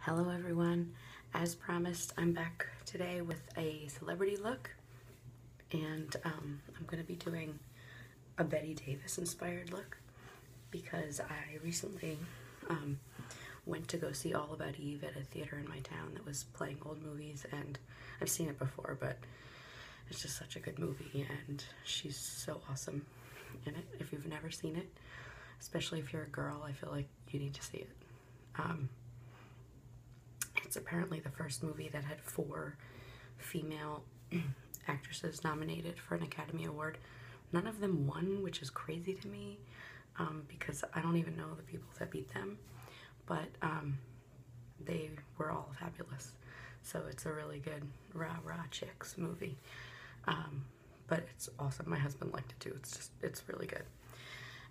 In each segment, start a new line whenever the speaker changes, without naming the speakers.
Hello everyone. As promised, I'm back today with a celebrity look and um, I'm going to be doing a Betty Davis inspired look because I recently um, went to go see All About Eve at a theater in my town that was playing old movies and I've seen it before but it's just such a good movie and she's so awesome in it if you've never seen it. Especially if you're a girl, I feel like you need to see it. Um, it's apparently the first movie that had four female actresses nominated for an Academy Award. None of them won, which is crazy to me um, because I don't even know the people that beat them. But um, they were all fabulous. So it's a really good rah rah chicks movie but it's awesome. My husband liked it too. It's just, it's really good.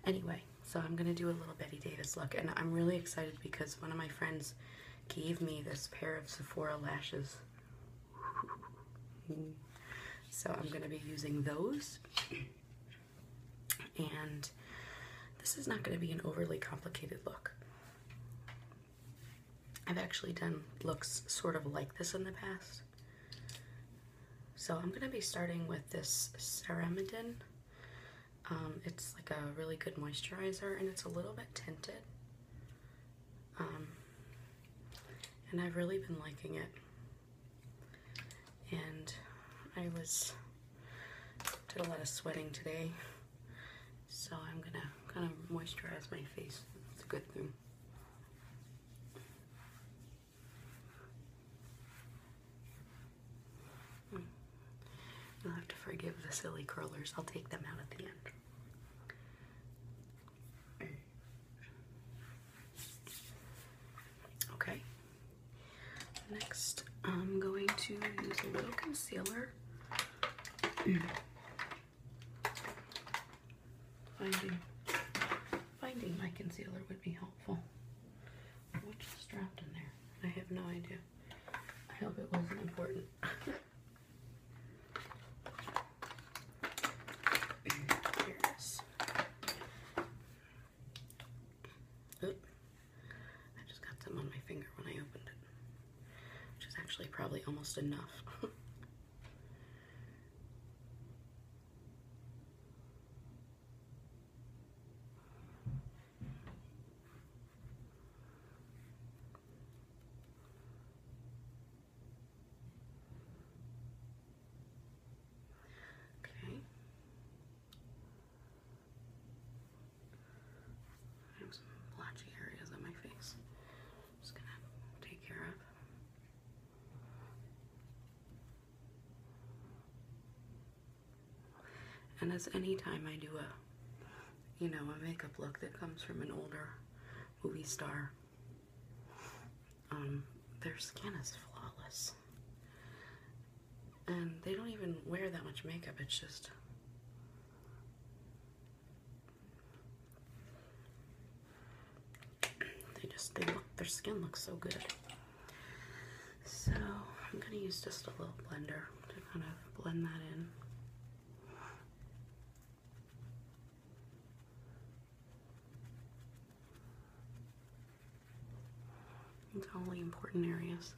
Anyway, so I'm going to do a little Betty Davis look, and I'm really excited because one of my friends gave me this pair of Sephora lashes. so I'm going to be using those. And this is not going to be an overly complicated look. I've actually done looks sort of like this in the past. So I'm going to be starting with this Ceramidin. Um, it's like a really good moisturizer and it's a little bit tinted. Um, and I've really been liking it. And I was, did a lot of sweating today. So I'm gonna kind of moisturize my face. It's a good thing i hmm. will have to forgive the silly curlers. I'll take them out at the end. Okay. Next, I'm going to use a little concealer. Finding, finding my concealer would be helpful. Which is dropped in there? I have no idea. I hope it wasn't important. Here it is. Oop. I just got some on my finger when I opened it, which is actually probably almost enough. Okay. I have some blotchy areas on my face just gonna take care of. And as any time I do a, you know, a makeup look that comes from an older movie star, um, their skin is flawless. And they don't even wear that much makeup, it's just they just, they look, their skin looks so good. So I'm going to use just a little blender to kind of blend that in. It's all the important areas.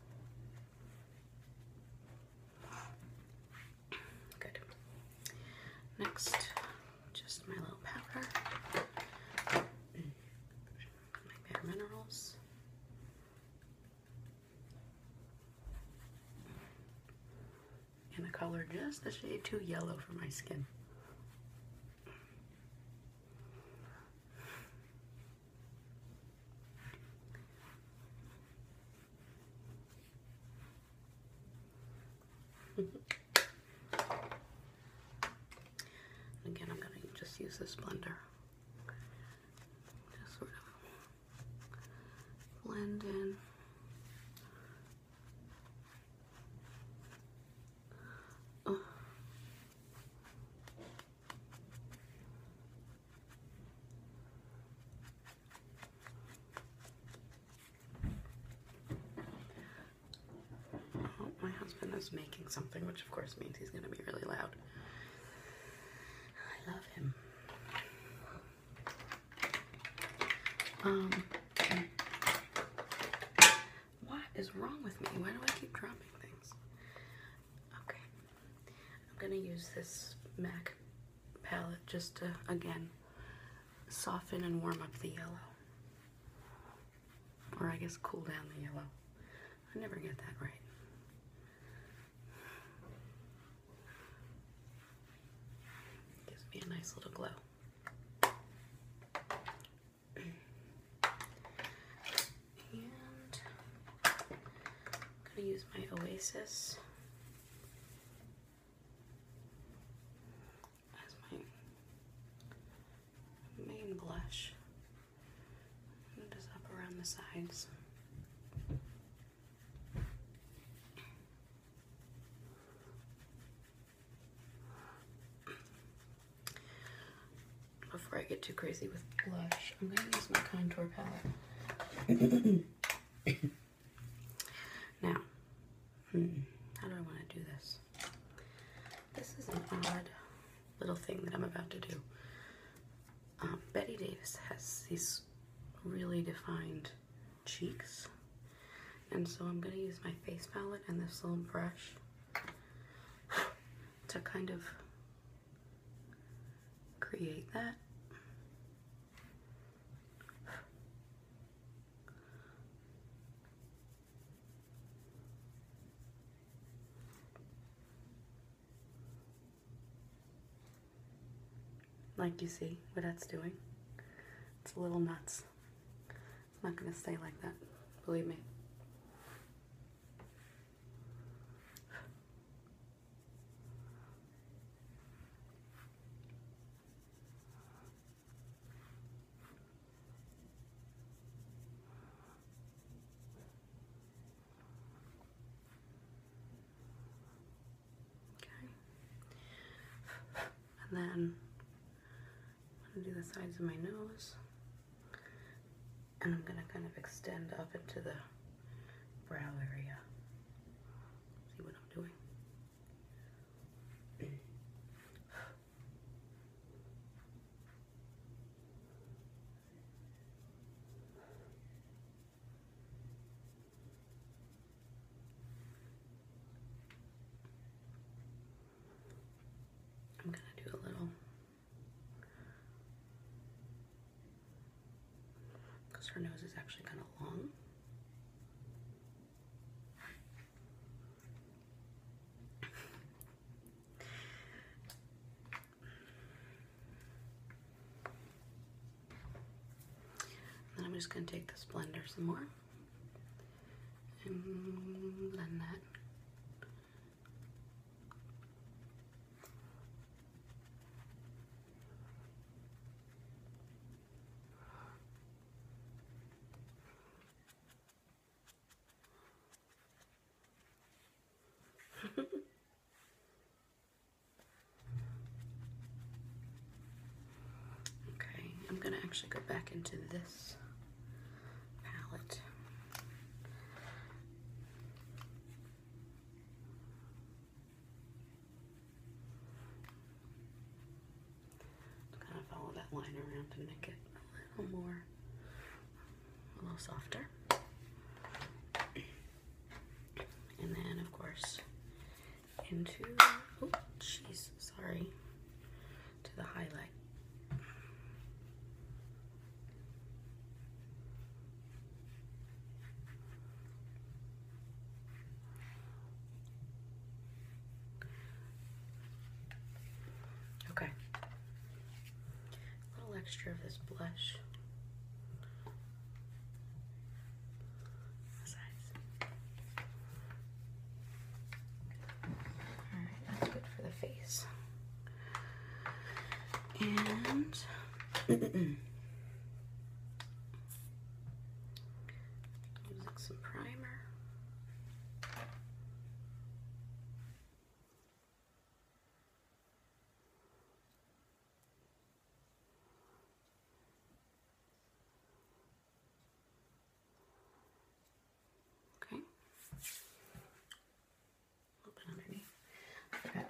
Good. Next, just my little powder, my minerals. And the color just the shade too yellow for my skin. Again, I'm going to just use this blender. Just sort of blend in. Oh, my husband is making something, which of course means he's going to be really loud. I love him. Um, what is wrong with me? Why do I keep dropping things? Okay, I'm gonna use this MAC palette just to, again, soften and warm up the yellow. Or I guess cool down the yellow. I never get that right. Gives me a nice little glow. and I'm gonna use my Oasis as my main blush. It is up around the sides. Before I get too crazy with blush, I'm going to use my contour palette. now, hmm, how do I want to do this? This is an odd little thing that I'm about to do. Um, Betty Davis has these really defined cheeks. And so I'm going to use my face palette and this little brush to kind of create that. Like you see what that's doing. It's a little nuts. It's not going to stay like that, believe me. Okay. And then I'm going to do the sides of my nose. And I'm going to kind of extend up into the brow area. See what I'm doing? I'm going to do a little because her nose is actually kind of long. Then I'm just going to take this blender some more and blend that okay, I'm going to actually go back into this palette kind of follow that line around to make it a little more, a little softer. And then, of course, into, oh, jeez, sorry, to the highlight. Okay. A little extra of this blush. Alright, that's good for the face. And some primer. Okay.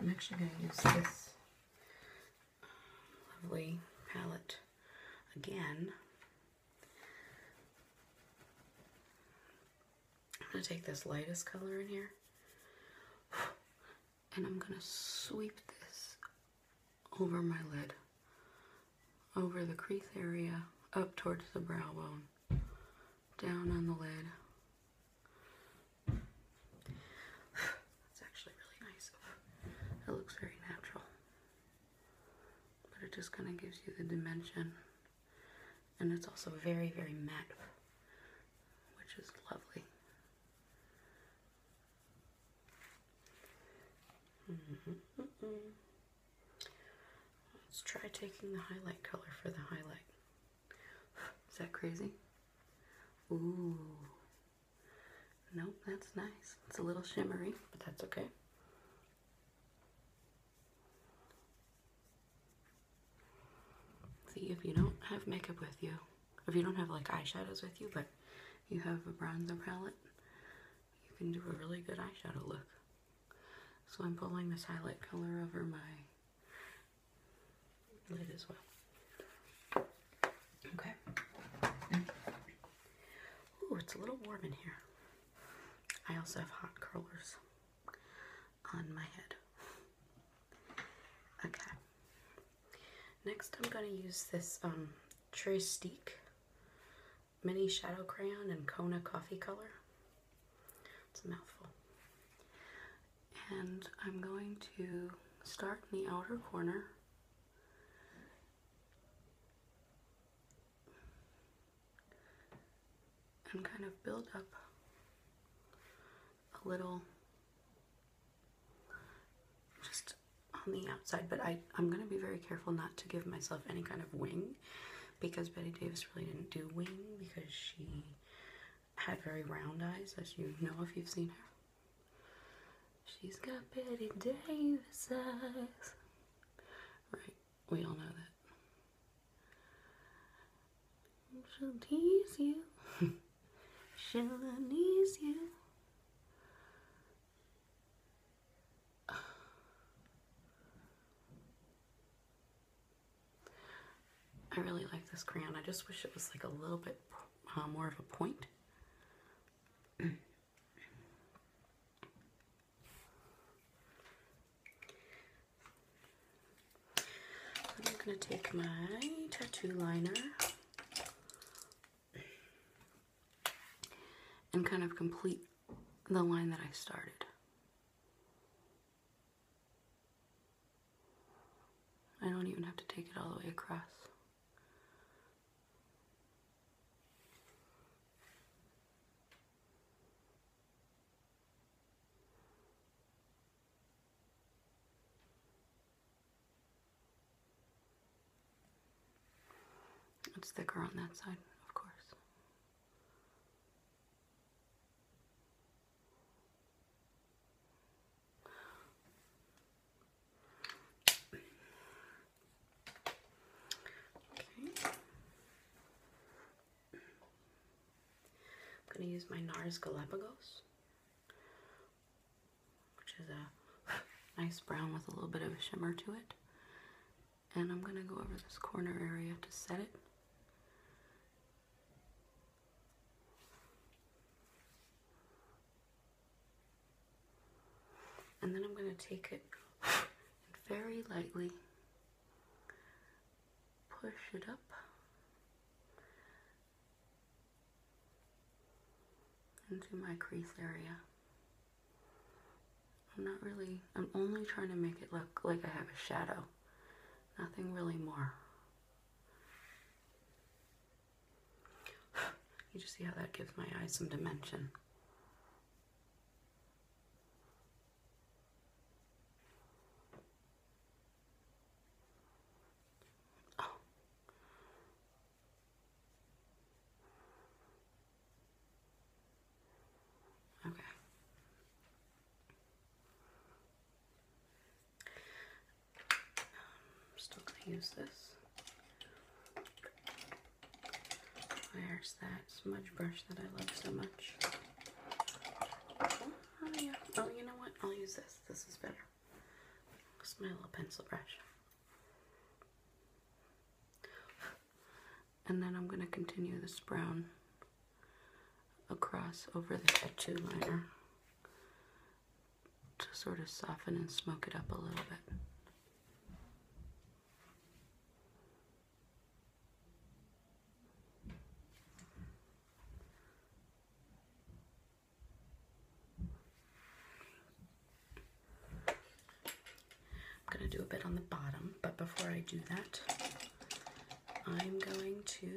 I'm actually going to use this lovely palette again. I'm going to take this lightest color in here and I'm going to sweep this over my lid, over the crease area, up towards the brow bone, down on the lid, that's It looks very natural. But it just kind of gives you the dimension. And it's also very, very matte, which is lovely. Mm-hmm. Let's try taking the highlight color for the highlight. Is that crazy? Ooh. no, that's nice. It's a little shimmery, but that's okay. See, if you don't have makeup with you, if you don't have like eyeshadows with you, but you have a bronzer palette, you can do a really good eyeshadow look. So I'm pulling this highlight color over my on as well. Okay. Ooh, it's a little warm in here. I also have hot curlers on my head. Okay. Next, I'm going to use this um, Tristique Mini Shadow Crayon in Kona Coffee Color. It's a mouthful. And I'm going to start in the outer corner. And kind of build up a little just on the outside, but I, I'm going to be very careful not to give myself any kind of wing because Betty Davis really didn't do wing because she had very round eyes, as you know if you've seen her. She's got Betty Davis eyes. Right, we all know that. She'll tease you. She'll tease you. I really like this crayon. I just wish it was like a little bit uh, more of a point. I'm going to take my tattoo liner and kind of complete the line that I started. I don't even have to take it all the way across. It's thicker on that side, of course. I'm going to use my NARS Galapagos, which is a nice brown with a little bit of a shimmer to it. And I'm going to go over this corner area to set it. And then I'm going to take it and very lightly push it up. into my crease area. I'm not really, I'm only trying to make it look like I have a shadow. Nothing really more. You just see how that gives my eyes some dimension. Oh. Okay still gonna use this. There's that smudge brush that I love so much. Oh, yeah. oh, you know what? I'll use this. This is better. It's my little pencil brush and then I'm going to continue this brown across over the tattoo liner to sort of soften and smoke it up a little bit. I'm going to do a bit on the bottom but before I do that, I'm going to.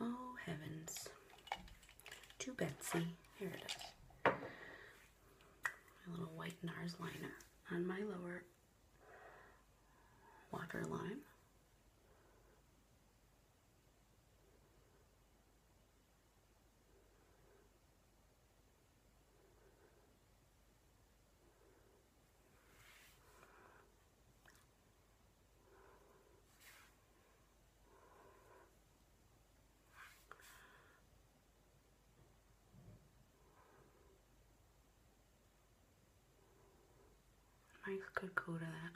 Oh heavens. To Betsy. Here it is. My little white NARS liner on my lower waterline. Nice good coat to that.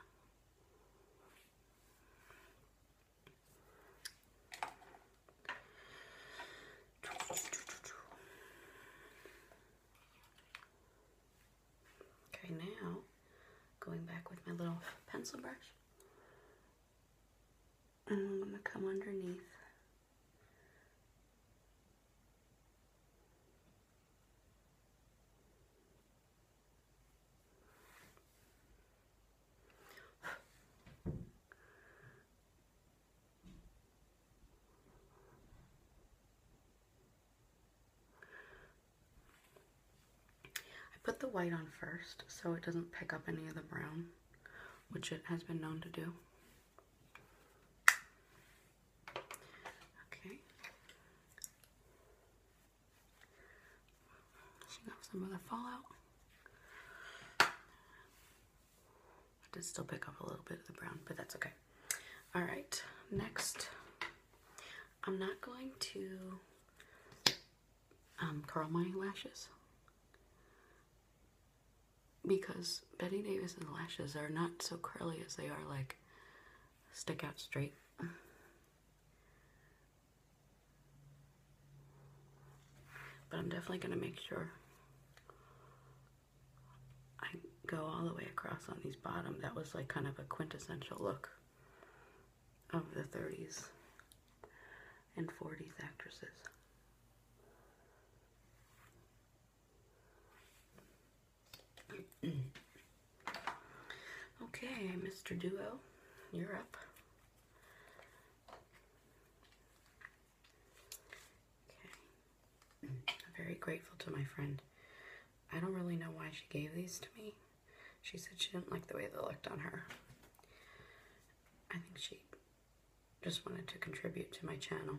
Okay, now going back with my little pencil brush. And I'm going to come underneath I put the white on first so it doesn't pick up any of the brown, which it has been known to do. Okay. Washing off some other fallout. did still pick up a little bit of the brown, but that's okay. All right, next, I'm not going to um, curl my lashes because Betty Davis's lashes are not so curly as they are like stick out straight. But I'm definitely going to make sure I go all the way across on these bottom. That was like kind of a quintessential look of the 30s and 40s actresses. Okay, Mr. Duo, you're up. Okay. I'm very grateful to my friend. I don't really know why she gave these to me. She said she didn't like the way they looked on her. I think she just wanted to contribute to my channel.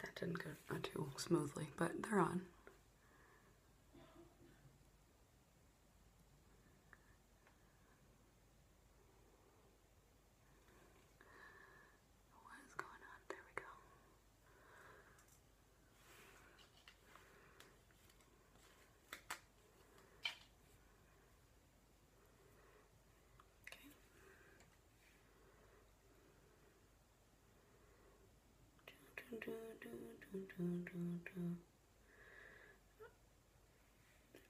That didn't go uh, too smoothly, but they're on. What is going on? There we go. Okay.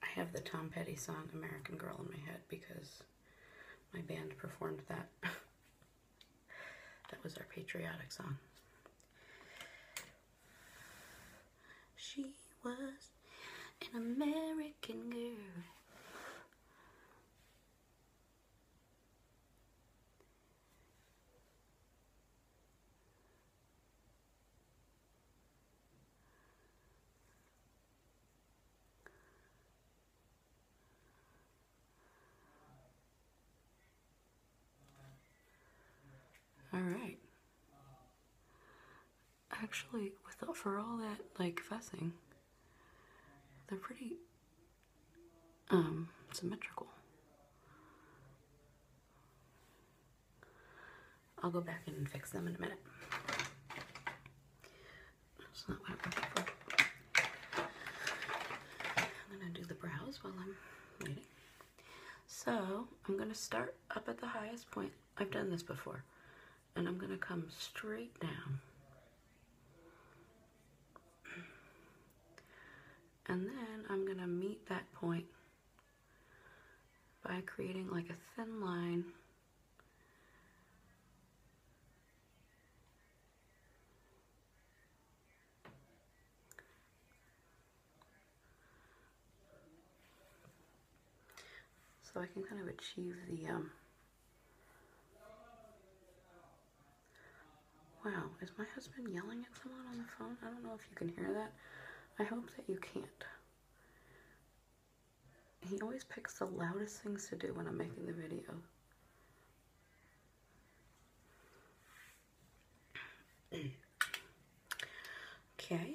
I have the Tom Petty song American Girl in my head because my band performed that. that was our patriotic song. She was an American girl. All right. Actually, for all that like fussing, they're pretty um, symmetrical. I'll go back in and fix them in a minute. I'm going to do the brows while I'm waiting. So, I'm going to start up at the highest point. I've done this before and I'm going to come straight down. And then I'm going to meet that point by creating like a thin line so I can kind of achieve the um, Wow, is my husband yelling at someone on the phone? I don't know if you can hear that. I hope that you can't. He always picks the loudest things to do when I'm making the video. okay.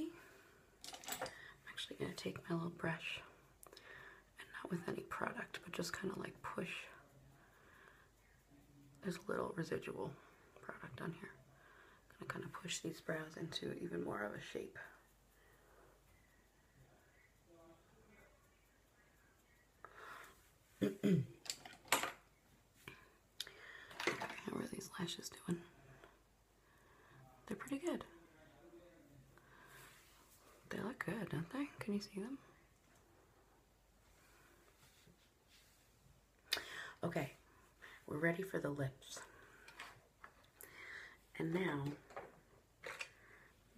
I'm actually going to take my little brush and not with any product, but just kind of like push. There's a little residual product on here. gonna kind of push these brows into even more of a shape. how are these lashes doing? They're pretty good. They look good, don't they? Can you see them? Okay, we're ready for the lips. And now,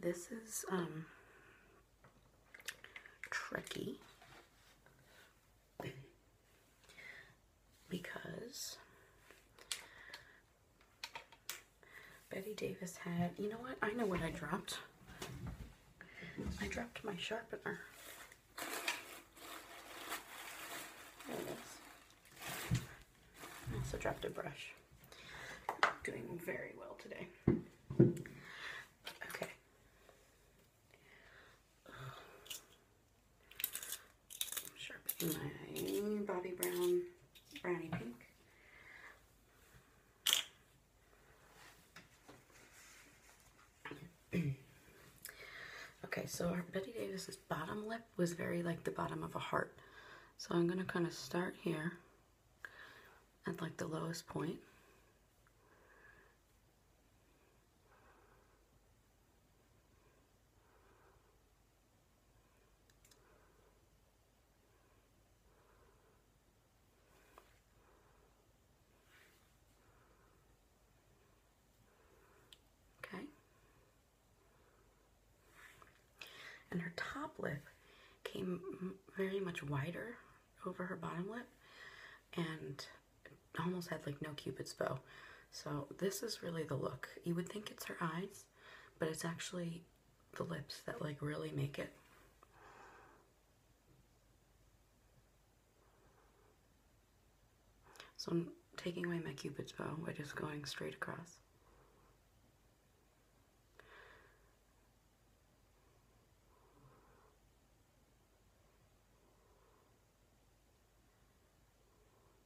this is um, tricky because Betty Davis had, you know what? I know what I dropped. I dropped my sharpener. There it is. I also dropped a brush. I'm doing very well today. Okay sharpen my Bobbi Brown brownie pink. Okay, so our Betty Davis's bottom lip was very like the bottom of a heart. So I'm going to kind of start here at like the lowest point. Okay. And her top lip came very much wider over her bottom lip and almost had like no cupid's bow. So this is really the look. You would think it's her eyes, but it's actually the lips that like really make it. So I'm taking away my cupid's bow by just going straight across.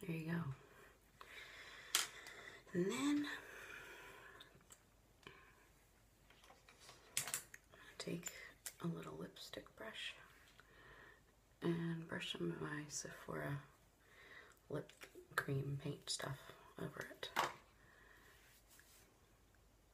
There you go. And then take a little lipstick brush and brush some of my Sephora lip cream paint stuff over it.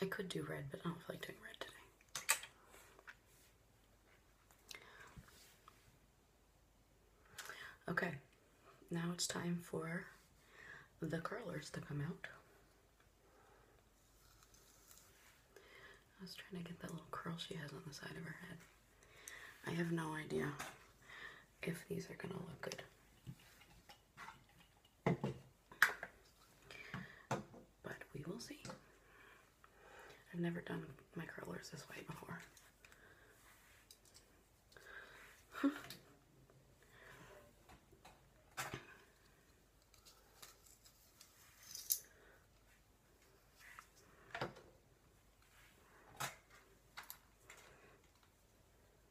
I could do red, but I don't feel like doing red today. Okay, now it's time for the curlers to come out. I was trying to get that little curl she has on the side of her head. I have no idea if these are gonna look good. But we will see. I've never done my curlers this way before.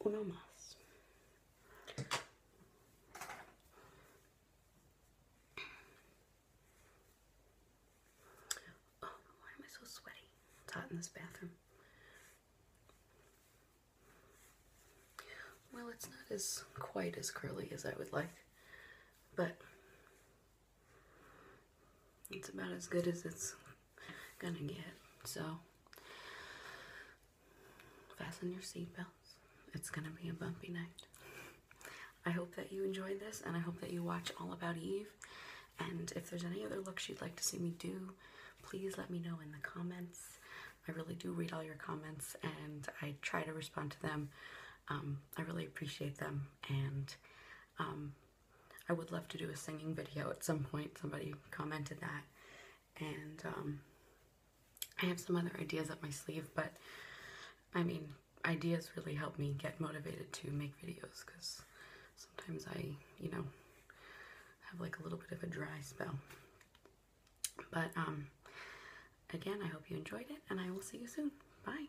uno más. Oh, why am I so sweaty? It's hot in this bathroom. Well, it's not as quite as curly as I would like, but it's about as good as it's gonna get. So fasten your seatbelts. It's gonna be a bumpy night. I hope that you enjoyed this and I hope that you watch All About Eve. And if there's any other looks you'd like to see me do, please let me know in the comments. I really do read all your comments and I try to respond to them. Um, I really appreciate them and um, I would love to do a singing video at some point. Somebody commented that. And um, I have some other ideas up my sleeve, but I mean, ideas really help me get motivated to make videos because sometimes I, you know, have like a little bit of a dry spell. But um, again, I hope you enjoyed it, and I will see you soon. Bye.